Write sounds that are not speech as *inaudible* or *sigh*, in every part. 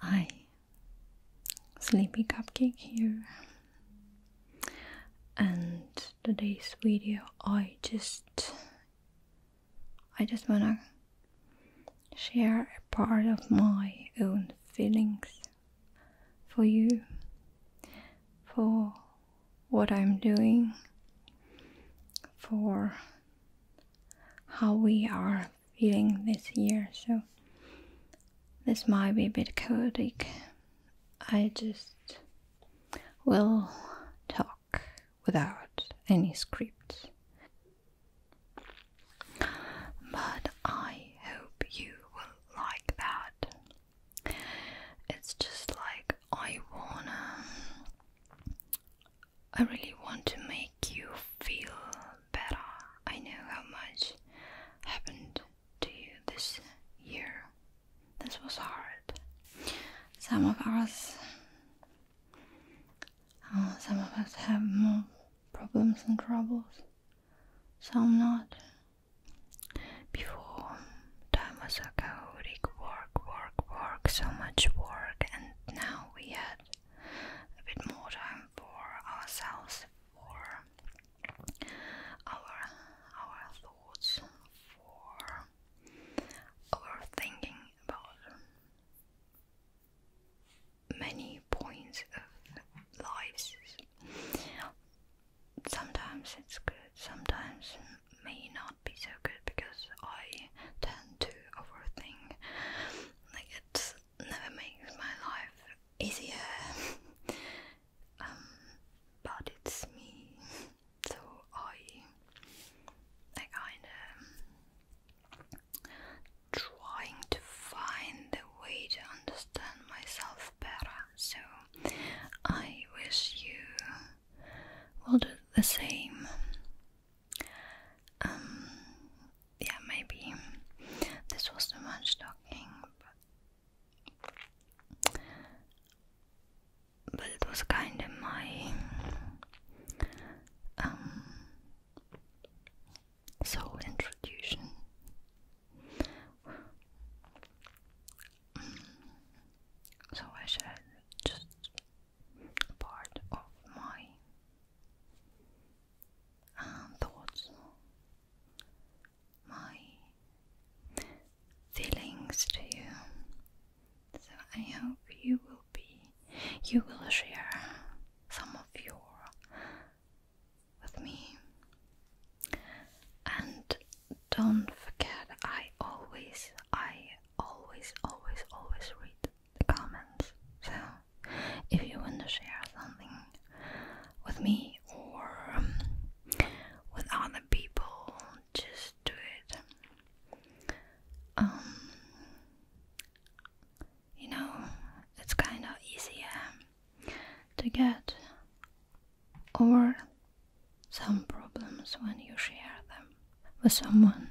Hi, Sleepy Cupcake here, and today's video I just I just wanna share a part of my own feelings for you for what I'm doing for how we are feeling this year, so this might be a bit chaotic. I just will talk without any scripts. But I hope you will like that. It's just like I wanna I really want to make you feel better. I know how much happened to you this year. This was hard. Some of us, uh, some of us have more problems and troubles, some not. Before, time was so chaotic work, work, work, so much work, and now we had a bit more time for ourselves, for our our thoughts, for our about many points of lives. Sometimes it's good, sometimes may not be so good because I tend to overthink it never makes my life easier. *laughs* Um, but it's me, so I, I kinda trying to find a way to understand myself better. So I wish you will do the same. Um, yeah, maybe this was too much talking, but, it was kind of my um, soul introduction. So I should just part of my um, thoughts, my feelings to you. So I hope you will be, you will share some of your with me. And don't forget, I always, I always, always, always read the comments. So if you want to share something with me or um, with other people, just do it. Um, you know, it's kind of easier to get over some problems when you share them with someone.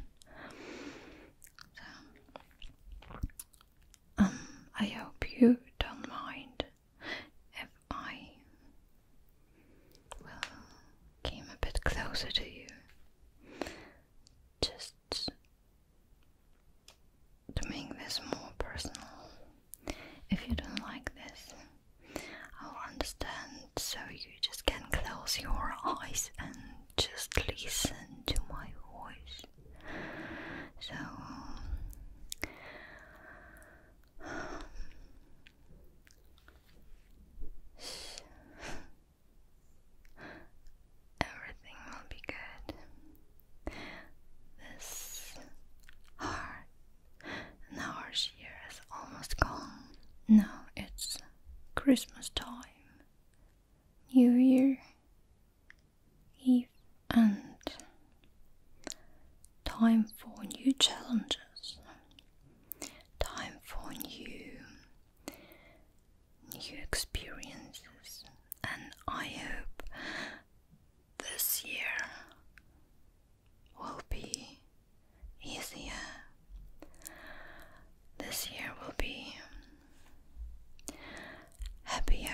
So, um, I hope you don't mind if I well came a bit closer to you. Just to make this more personal. If you don't like this, I'll understand so you just can close your eyes and just listen to my voice. So, um, everything will be good. This heart, and our year is almost gone. Now it's Christmas time. New Year Eve and time for new challenges, time for new new experiences and I hope this year will be easier. This year will be happier,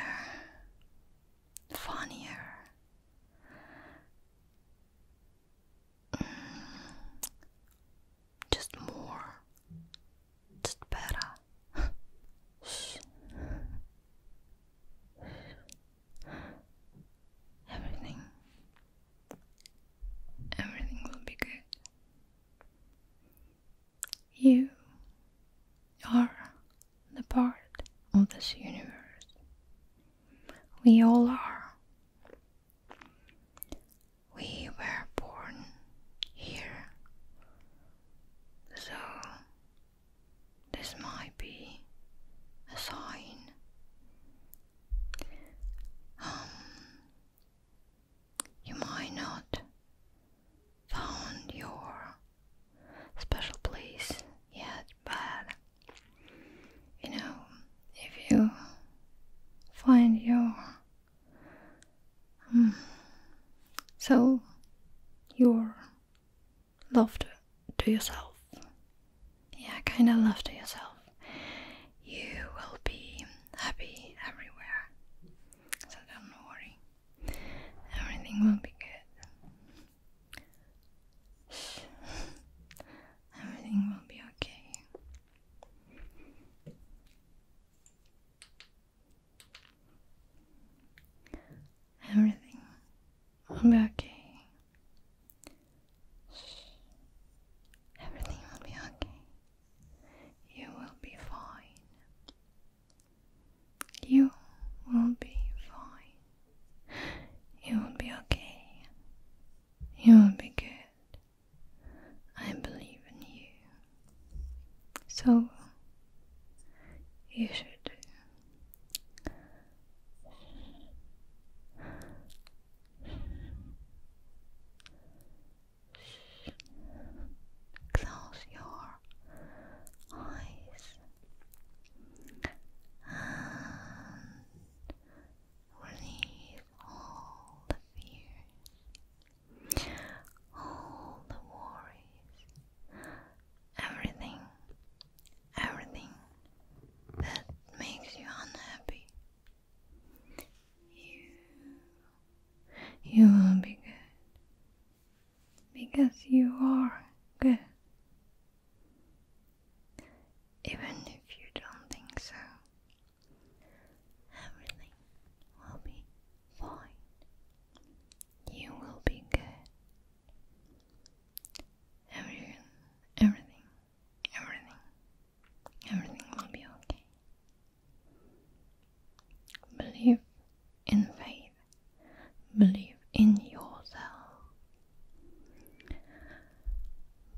funnier, mm, just more, just better. Everything, everything will be good. You are the part of this universe. We all are. We were born here. So, this might be a sign. Um, you might not found your special place yet, but you know, if you find your um, so your love to yourself, yeah, kind of love to yourself, you will be happy everywhere so don't worry, everything will be good. everything will be okay. Everything will be okay. Everything will be okay. You will be fine. You will be fine. You will be okay. You will be good. I believe in you. So, you should. Close your eyes and release all the fears, all the worries, everything, everything that makes you unhappy. You you will be good because you are good. Even if you don't think so, everything will be fine. You will be good. Everything, everything, everything Everything will be okay. Believe in faith. Believe in yourself.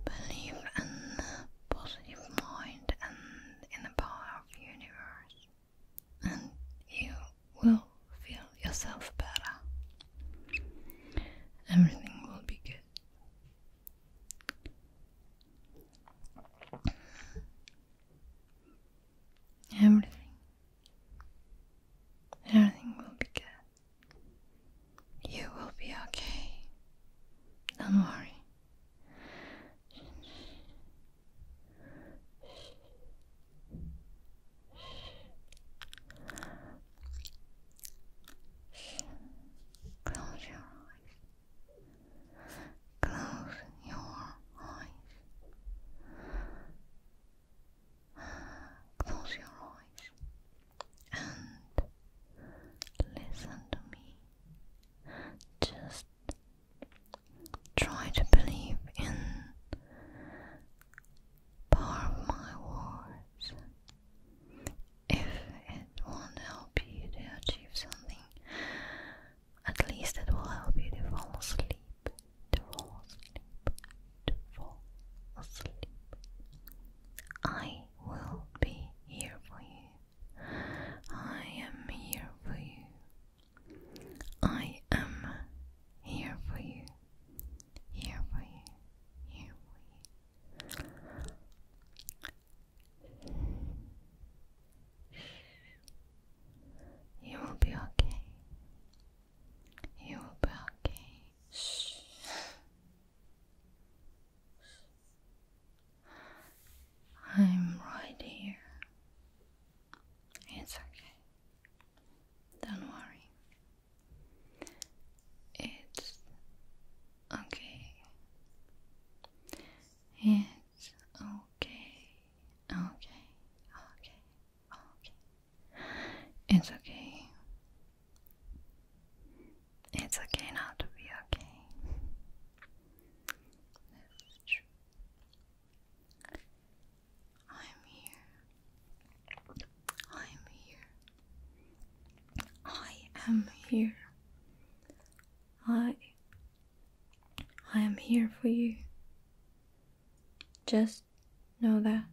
Believe in the positive mind and in the power of the universe. And you will feel yourself better. Everything will be good. Everything. Everything will be good. You will be okay. Don't worry. Close your eyes. Close your eyes. Close your eyes and listen to me. Just try to believe in part of my words. If it will help you to achieve something at least it will help you to fall asleep, to fall asleep, to fall asleep. I will be here for you. I am here for you. I am here for you. Here for you. Here for you. You will be okay. You will be okay. I'm right here. It's okay. Don't worry. It's okay. It's Yes. Okay. Okay. Okay. Okay. It's okay. It's okay not to be okay. I'm here. I'm here. I am here. I I am here for you. Just know that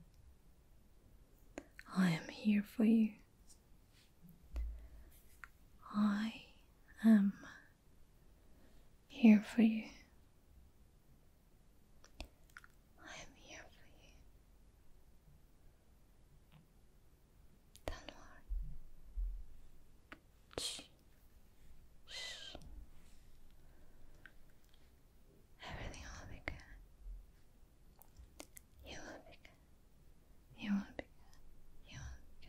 I am here for you. I am here for you. I am here for you. Everything will be good. You will be good. You will be good. You will be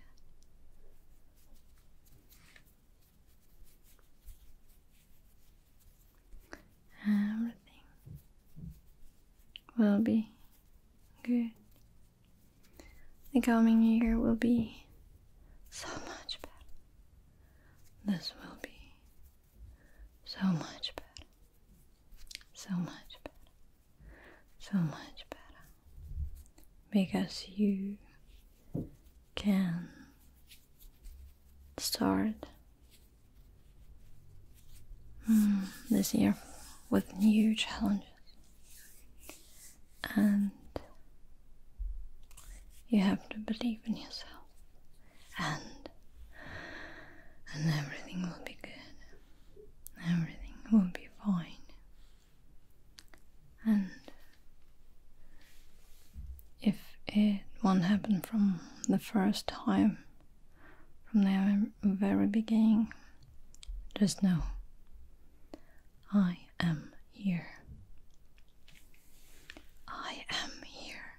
good. Everything will be good. The coming year will be so much better. This will be so much better. So much better. So much better. Because you can start mm, this year with new challenges and you have to believe in yourself and and everything will be good everything will be fine and if it won't happen from the first time from there very beginning, just know I am here. I am here.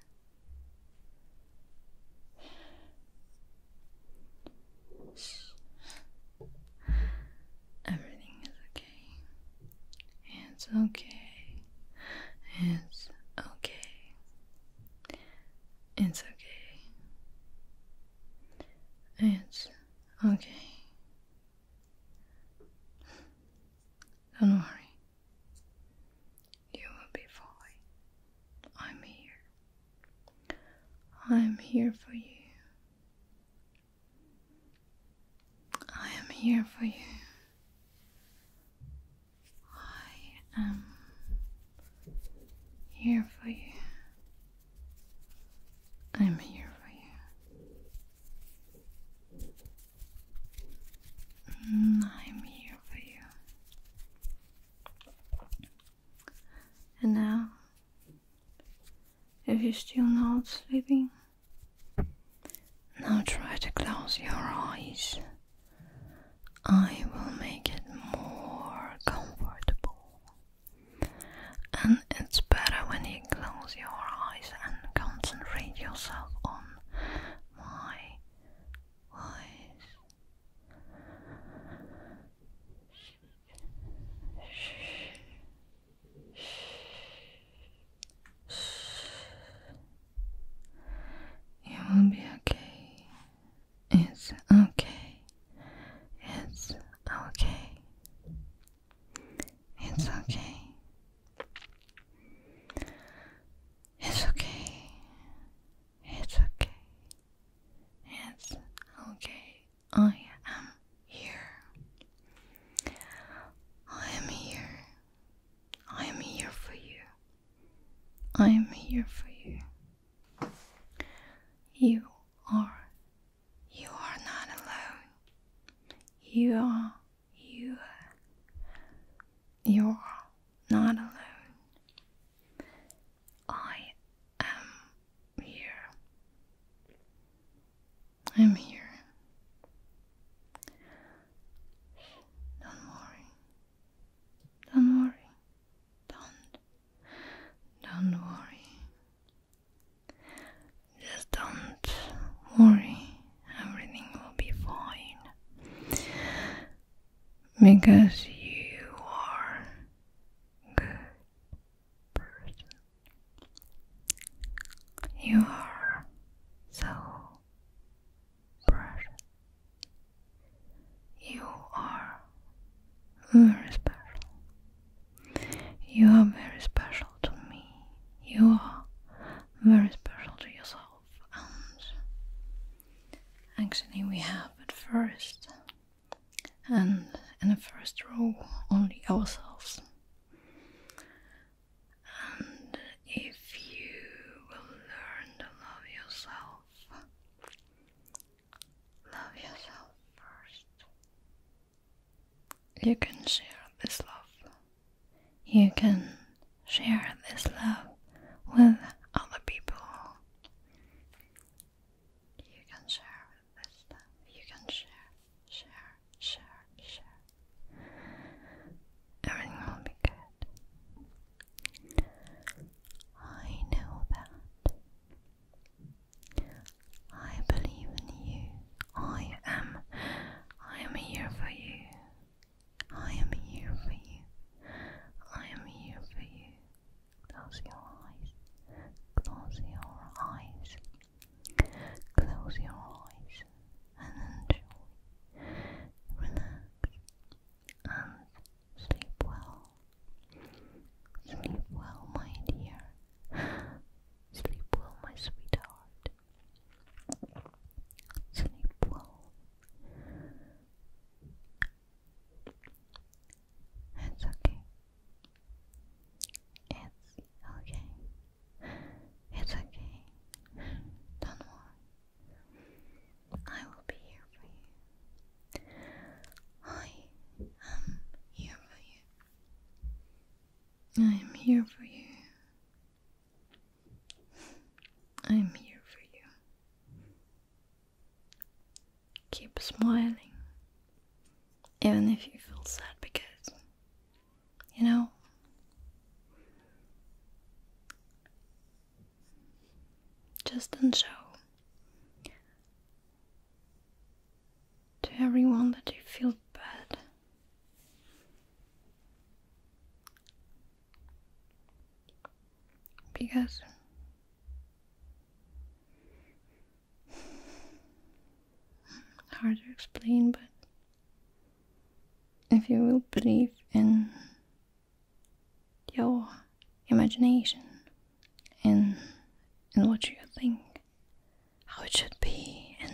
Everything is okay. It's okay. It's okay. It's okay. It's Okay. Don't worry. You will be fine. I'm here. I'm here for you. I am here for you. I am here for you. I'm here for you. Mm, I'm here for you. And now, if you're still not sleeping, now try to close your eyes. I will make it more comfortable. And it's better when you close your eyes and concentrate yourself on my voice. You will be okay. It's okay. It's okay. It's okay. It's okay. It's okay. It's okay. I am here. I am here. I am here for you. I am here for you. You are you are not alone. You are you. You're not alone. I am here. I'm here. Don't worry. Don't worry. Don't. Don't worry. Just don't worry. Everything will be fine. Because you are good person. You are so precious. You are very special. You are very special to me. You are very special to yourself. And actually, we have at first, and in the first row, only ourselves. And if you will learn to love yourself, Love yourself first. You can share this love. You can share this love with other people. You can share this love. You can share, share, share, share. Everything will be good. I know that. I believe in you. I am. I am here for you. I am here for you. I am here for you. Close your eyes. Close your eyes. Close your eyes and Relax and sleep well. Sleep well, my dear. *gasps* Sleep well, my sweetheart. Sleep well. It's okay. It's okay. It's okay. Don't worry. I will be here for you. I am here for you. I am here for you. I am here for you. Keep smiling, even if you feel sad, because you know. Just don't show to everyone that you feel bad. Because hard to explain, but if you will believe in your imagination and and what you think how it should be in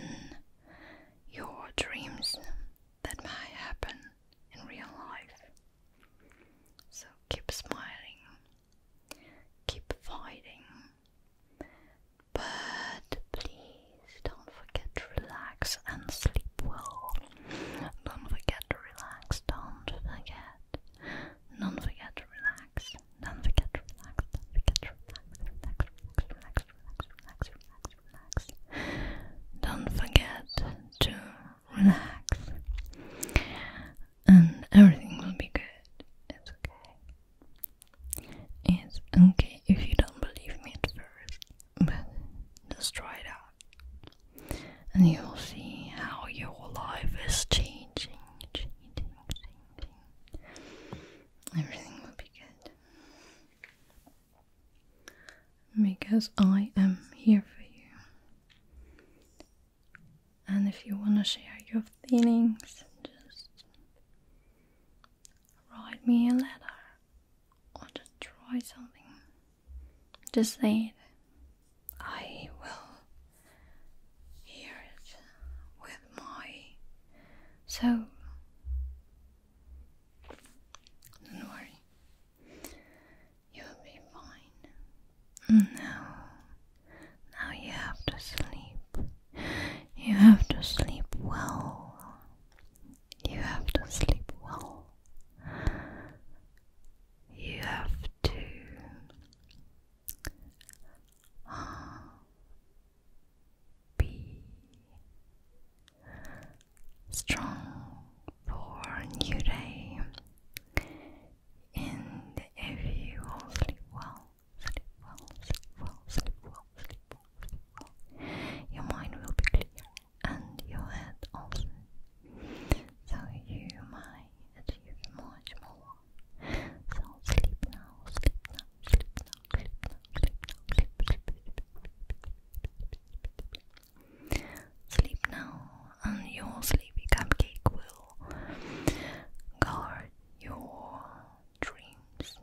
your dreams that might happen in real life. So keep smiling, keep fighting, but please don't forget to relax and sleep well. Don't forget to relax, don't forget don't forget to relax. Don't forget to relax. Don't forget to relax. Relax, relax, relax, relax, relax, relax. Don't forget to relax. And everything will be good. It's okay. It's okay if you don't believe me at first, but just try it out. And you'll see how your life is changing, changing, Everything will be good. Because I am here for you. And if you want to share your feelings, just write me a letter or just try something. Just say it. I will hear it with my soul. Don't worry, you'll be fine. Now, now you have to sleep. You have to sleep well. You have to sleep well. You have to be strong for a new day, and if you all sleep well, sleep well, sleep well, sleep well, sleep well, sleep well, your mind will be clear and your head also, so you might achieve much more sleep now, sleep now, sleep now, sleep now, sleep now, sleep, sleep, sleep. Sleep now, and your sleepy cupcake will guard your dreams.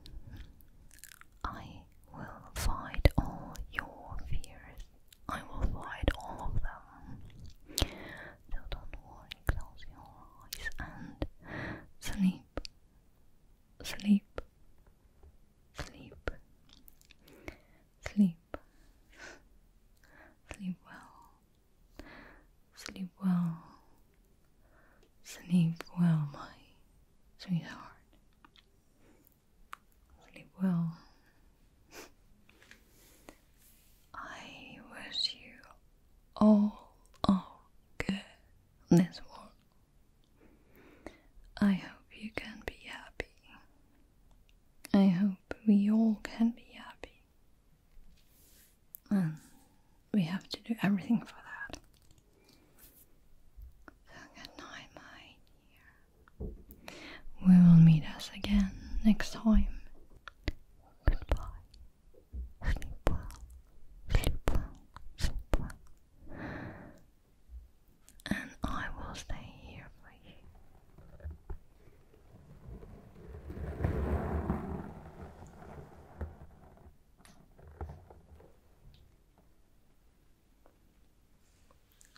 I will fight all your fears. I will fight all of them. So don't worry, close your eyes and sleep, sleep, sleep, sleep, sleep well, sleep well, sleep well, my sweetheart. Sleep well. I wish you all are good this world. I hope you can be happy. I hope we all can be happy. And we have to do everything for that. So good night, my dear. We will meet us again next time. Goodbye. Sleep well. Sleep well. Sleep well. And I will stay here for you.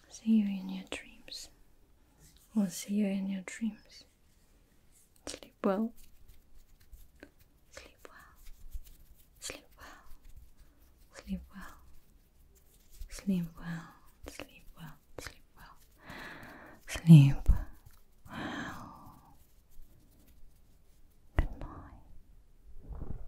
See you in your dreams. We'll see you in your dreams. Sleep well. Sleep well. Sleep well. Sleep well. Sleep well. Sleep well. Sleep well. Sleep well. Good night.